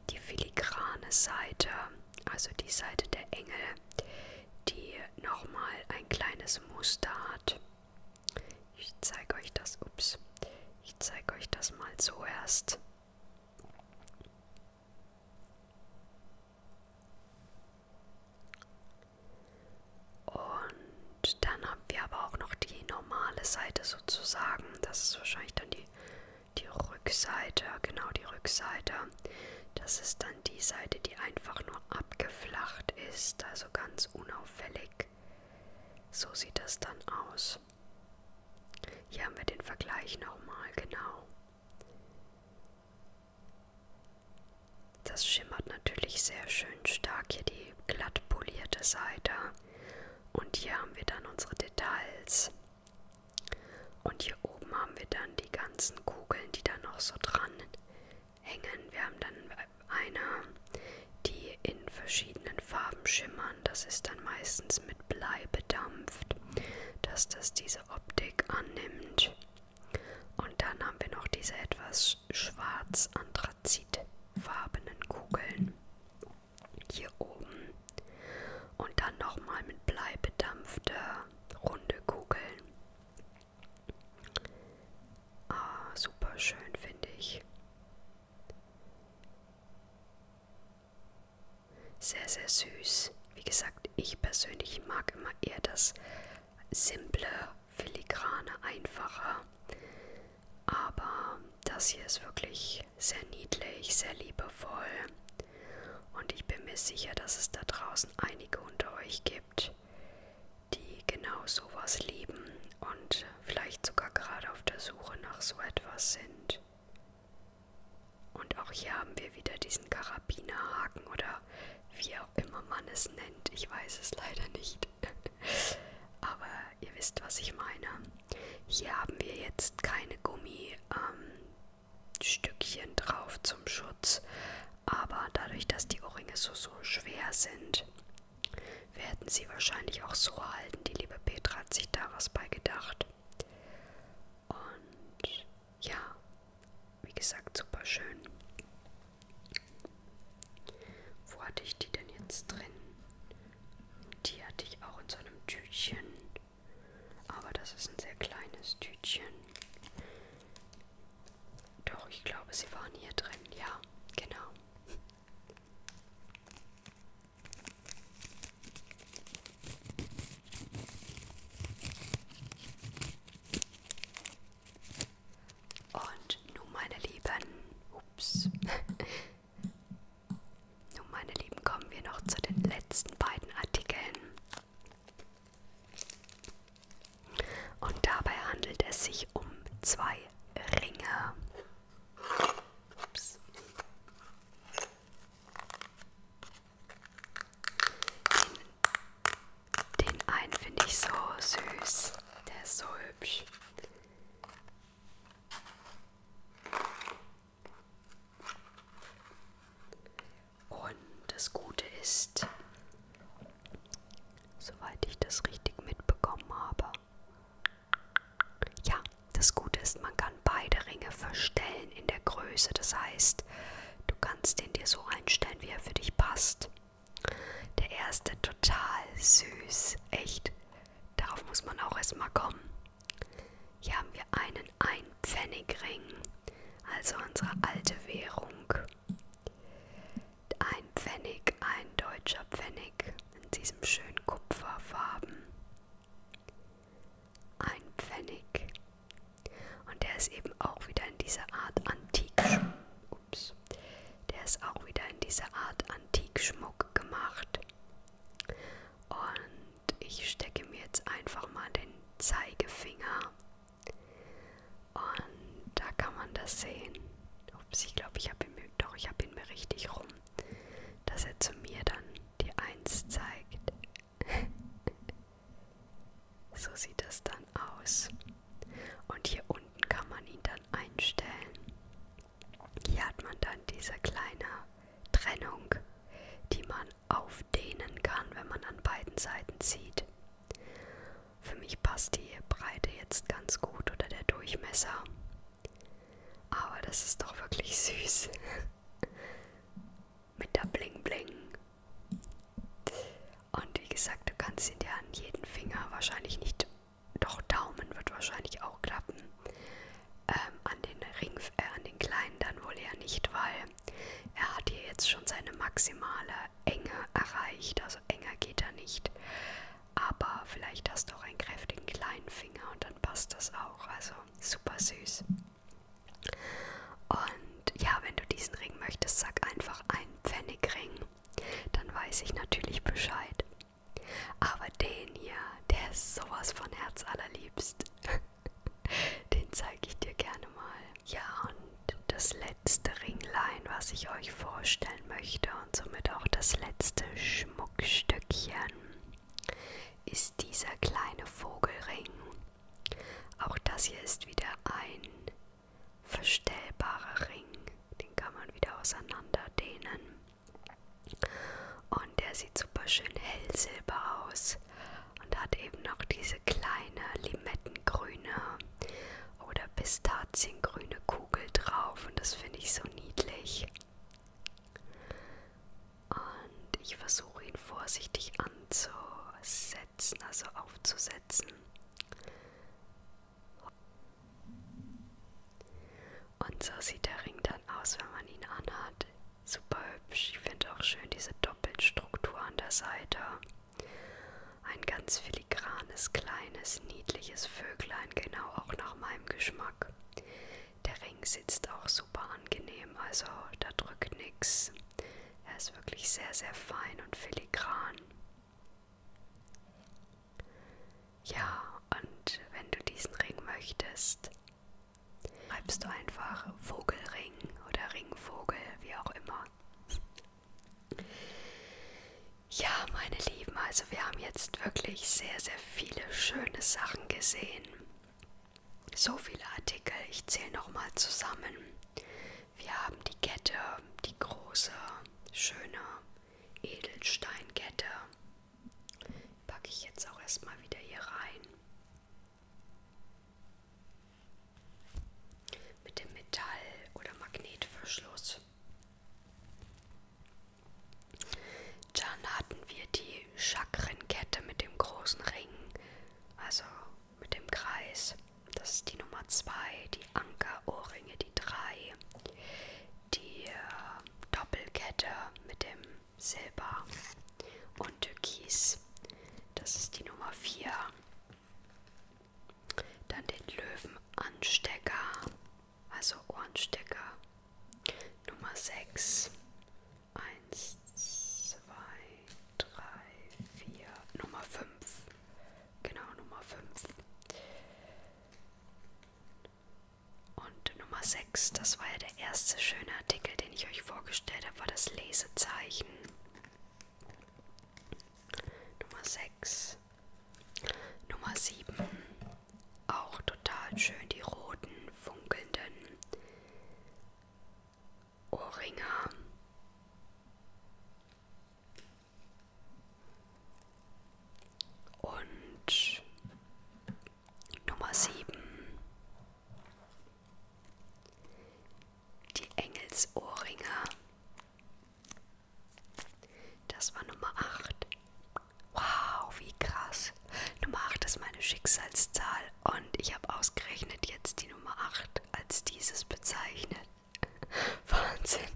die filigrane Seite, also die Seite der Engel, die nochmal ein kleines Muster hat. Ich zeige euch das, ups, ich zeige euch das mal so erst. Und dann haben wir aber auch noch die normale Seite sozusagen. Das ist wahrscheinlich dann die, die Rückseite, genau die Rückseite. Das ist dann die Seite, die einfach nur abgeflacht ist, also ganz unauffällig. So sieht das dann aus. Hier haben wir den Vergleich nochmal, genau. Das schimmert natürlich sehr schön stark hier die glatt polierte Seite. Und hier haben wir dann unsere Details. Und hier oben haben wir dann die ganzen Kugeln, die da noch so dran hängen. Wir haben dann eine, die in verschiedenen Farben schimmern. Das ist dann meistens mit mit Blei bedampft, dass das diese Optik annimmt. Und dann haben wir noch diese etwas schwarz-anthrazitfarbenen Kugeln hier oben. Und dann nochmal mit Blei bedampfte runde Kugeln. Ah, super schön finde ich. Sehr, sehr süß. Wie gesagt, ich persönlich mag immer eher das simple, filigrane, einfache. Aber das hier ist wirklich sehr niedlich, sehr liebevoll. Und ich bin mir sicher, dass es da draußen einige unter euch gibt, die genau sowas lieben und vielleicht sogar gerade auf der Suche nach so etwas sind. Und auch hier haben wir wieder diesen Karabinerhaken oder wie auch immer man es nennt. Ich weiß es leider nicht. Aber ihr wisst, was ich meine. Hier haben wir jetzt keine Gummistückchen ähm, drauf zum Schutz. Aber dadurch, dass die Ohrringe so, so schwer sind, werden sie wahrscheinlich auch so halten. Die liebe Petra hat sich da was bei gedacht. Und ja, wie gesagt, super schön. Wo hatte ich die denn jetzt drin? Die hatte ich auch in so einem Tütchen. Aber das ist ein sehr kleines Tütchen. Doch, ich glaube, sie waren hier drin. Ja, genau. Und nun, meine Lieben, ups. nun, meine Lieben, kommen wir noch zu den letzten beiden Artikeln. Und dabei handelt es sich um zwei Ringe. Ups. Den, den einen finde ich so süß. Der ist so hübsch. Und das Gute ist, soweit ich das richtig mitbekommen habe, ja, das Gute ist, man kann beide Ringe verstellen in der Größe. Das heißt, du kannst den dir so einstellen, wie er für dich passt. Der erste total süß. Echt. Darauf muss man auch erstmal kommen. Hier haben wir einen Einpfennigring, also unsere alte Währung. Ein Pfennig, ein deutscher Pfennig in diesem schönen Kupferfarben. Ein Pfennig. Und der ist eben auch wieder in dieser Art Antikschmuck. Ups. Der ist auch wieder in dieser Art Antikschmuck gemacht. Und ich stecke mir jetzt einfach mal den Zeigefinger. Und da kann man das sehen. Ups, ich glaube, ich habe ihn mir, doch, ich habe ihn mir richtig rum, dass er zu mir dann die Eins zeigt. so sieht es dann aus. Und hier unten kann man ihn dann einstellen. Hier hat man dann diese kleine Trennung, die man aufdehnen kann, wenn man an beiden Seiten zieht. Für mich passt die Breite jetzt ganz gut oder der Durchmesser. Aber das ist doch wirklich süß. Mit der Bling Bling. Und wie gesagt, du kannst ihn dir an jeden Finger wahrscheinlich nicht, doch Daumen wird wahrscheinlich auch klappen. Ähm, an den Ring, äh, an den kleinen dann wohl eher nicht, weil er hat hier jetzt schon seine maximale Enge erreicht. Also enger geht er nicht. Aber vielleicht hast du auch einen kräftigen kleinen Finger und dann passt das auch. Also super süß. Und ja, wenn du diesen Ring möchtest, sag einfach einen Pfennigring. Dann weiß ich natürlich Bescheid. Aber den hier, der ist sowas von herzallerliebst. den zeige ich dir gerne mal. Ja, und das letzte Ringlein, was ich euch vorstellen möchte und somit auch das letzte Schmuckstückchen, ist dieser kleine Vogelring. Auch das hier ist wieder ein verstellbarer Ring. Den kann man wieder auseinander dehnen. Und der sieht super schön hellsilber aus und hat eben noch diese kleine limettengrüne oder pistaziengrüne Kugel drauf. Und das finde ich so niedlich. Und ich versuche ihn vorsichtig anzusetzen, also aufzusetzen. Und so sieht der Ring dann aus, wenn man ihn anhat. Super hübsch. Ich finde auch schön diese Doppelstruktur an der Seite. Ein ganz filigranes, kleines, niedliches Vöglein, genau auch nach meinem Geschmack. Der Ring sitzt auch super angenehm, also da drückt nichts. Er ist wirklich sehr, sehr fein und filigran. Ja, und wenn du diesen Ring möchtest, schreibst du einfach Vogelring oder Ringvogel, wie auch immer. Ja, meine Lieben, also wir haben jetzt wirklich sehr, sehr viele schöne Sachen gesehen. So viele Artikel, ich zähle nochmal zusammen. Wir haben die Kette, die große, schöne Edelsteinkette. Packe ich jetzt auch erstmal wieder hier rein. Mit dem Metall- oder Magnetverschluss. Dann hatten wir die Chakrenkette mit dem großen Ring, also mit dem Kreis. Das ist die Nummer 2, die Anker-Ohrringe, die 3, die äh, Doppelkette mit dem Silber und Türkis, das ist die Nummer 4. Dann den Löwenanstecker, also Ohrenstecker Nummer 6. 1, 2, 3, 4. Nummer 5. Genau, Nummer 5. Und Nummer 6, das war ja der erste schöne Artikel, den ich euch vorgestellt habe, war das Lesezeichen. Nummer 6. Nummer 7. Auch total schön die roten, funkelnden Ohrringe. Und Nummer 7. Die Engelsohrringe. Das war Nummer 8. Wow, wie krass. Nummer 8 ist meine Schicksalszahl und ich habe ausgerechnet jetzt die Nummer 8 als dieses bezeichnet. Wahnsinn.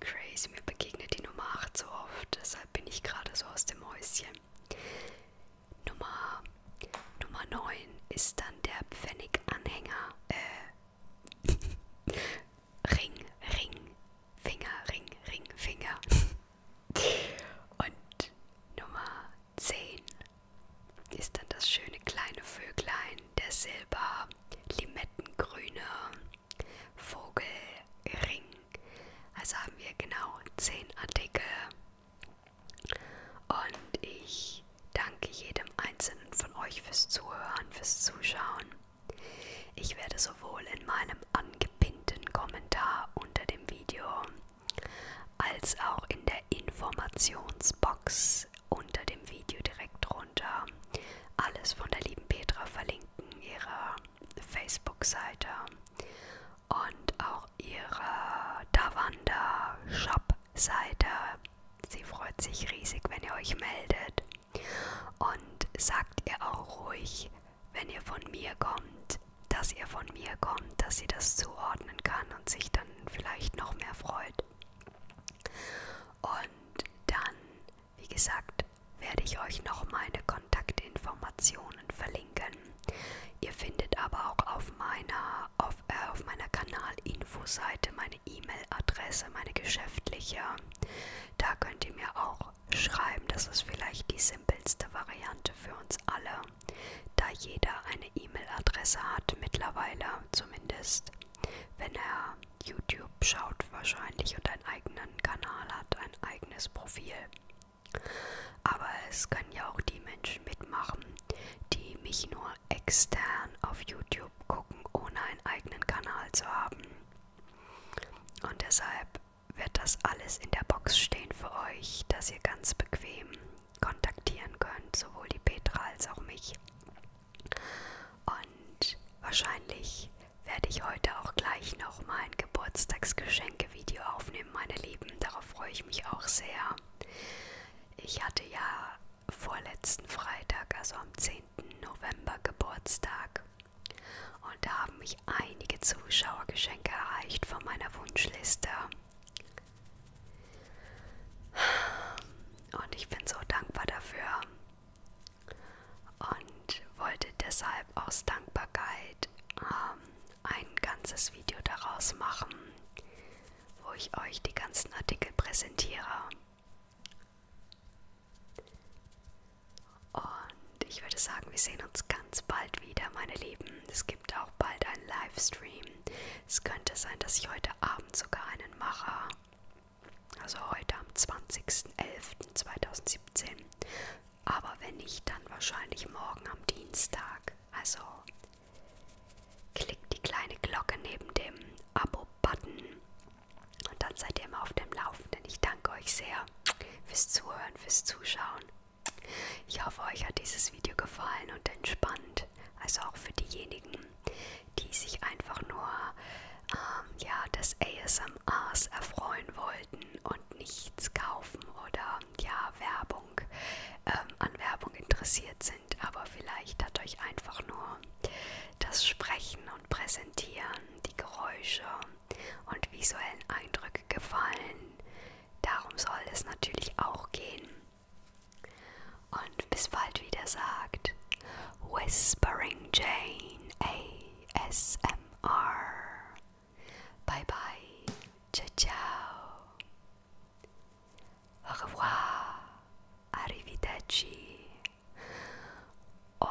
Crazy, mir begegnet die Nummer 8 so oft, deshalb bin ich gerade so aus dem Häuschen. Nummer, Nummer 9 ist dann der Pfenniganhänger. Äh, Ring, Ring, Finger, Ring, Ring, Finger. Und Nummer 10 ist dann das schöne kleine Vöglein, der silber limettengrüne Vogelring. Also haben wir genau 10 Artikel. Und ich danke jedem Einzelnen von euch fürs Zuhören, fürs Zuschauen. Ich werde so sowohl in meinem angepinnten Kommentar unter dem Video als auch in der Informationsbox unter dem Video direkt runter alles von der lieben Petra verlinken, ihrer Facebook-Seite und auch ihre Davanda-Shop-Seite. Sie freut sich riesig, wenn ihr euch meldet. Und sagt ihr auch ruhig, wenn ihr von mir kommt, dass ihr von mir kommt, dass sie das zuordnen kann und sich dann vielleicht noch mehr freut. Und dann, wie gesagt, werde ich euch noch meine Kontaktinformationen verlinken. Ihr findet aber auch auf meiner, auf, äh, auf meiner Kanal-Info-Seite meine E-Mail-Adresse, meine geschäftliche. Da könnt ihr mir auch auch schreiben. Das ist vielleicht die simpelste Variante für uns alle, da jeder eine E-Mail-Adresse hat mittlerweile, zumindest wenn er YouTube schaut wahrscheinlich und einen eigenen Kanal hat, ein eigenes Profil. Aber es können ja auch die Menschen mitmachen, die mich nur extern auf YouTube gucken, ohne einen eigenen Kanal zu haben. Und deshalb wird das alles in der Box stehen für euch, dass ihr ganz bequem kontaktieren könnt, sowohl die Petra als auch mich. Und wahrscheinlich werde ich heute auch gleich noch mal ein Geburtstagsgeschenke-Video aufnehmen, meine Lieben. Darauf freue ich mich auch sehr. Ich hatte ja vorletzten Freitag, also am 10. November Geburtstag. Und da haben mich einige Zuschauergeschenke erreicht von meiner Wunschliste. Und ich bin so dankbar dafür. Und wollte deshalb aus Dankbarkeit ähm, ein ganzes Video daraus machen, wo ich euch die ganzen Artikel präsentiere. Und ich würde sagen, wir sehen uns ganz bald wieder, meine Lieben. Es gibt auch bald einen Livestream. Es könnte sein, dass ich heute Abend sogar einen mache. Also heute am 20.11.2017. Aber wenn nicht, dann wahrscheinlich morgen am Dienstag. Also klickt die kleine Glocke neben dem Abo-Button und dann seid ihr immer auf dem Laufenden. Ich danke euch sehr fürs Zuhören, fürs Zuschauen. Ich hoffe, euch hat dieses Video gefallen und entspannt. Also auch für diejenigen, die sich einfach nur ähm, ja, des ASMRs erfreuen wollten und nichts kaufen oder ja, Werbung, ähm, an Werbung interessiert sind. Aber vielleicht hat euch einfach nur das Sprechen und Präsentieren, die Geräusche und visuellen Eindrücke gefallen. Darum soll es natürlich auch gehen. Und bis bald wieder sagt Whispering Jane ASMR. Bye bye. Ciao ciao. Au revoir. Arrivederci. Und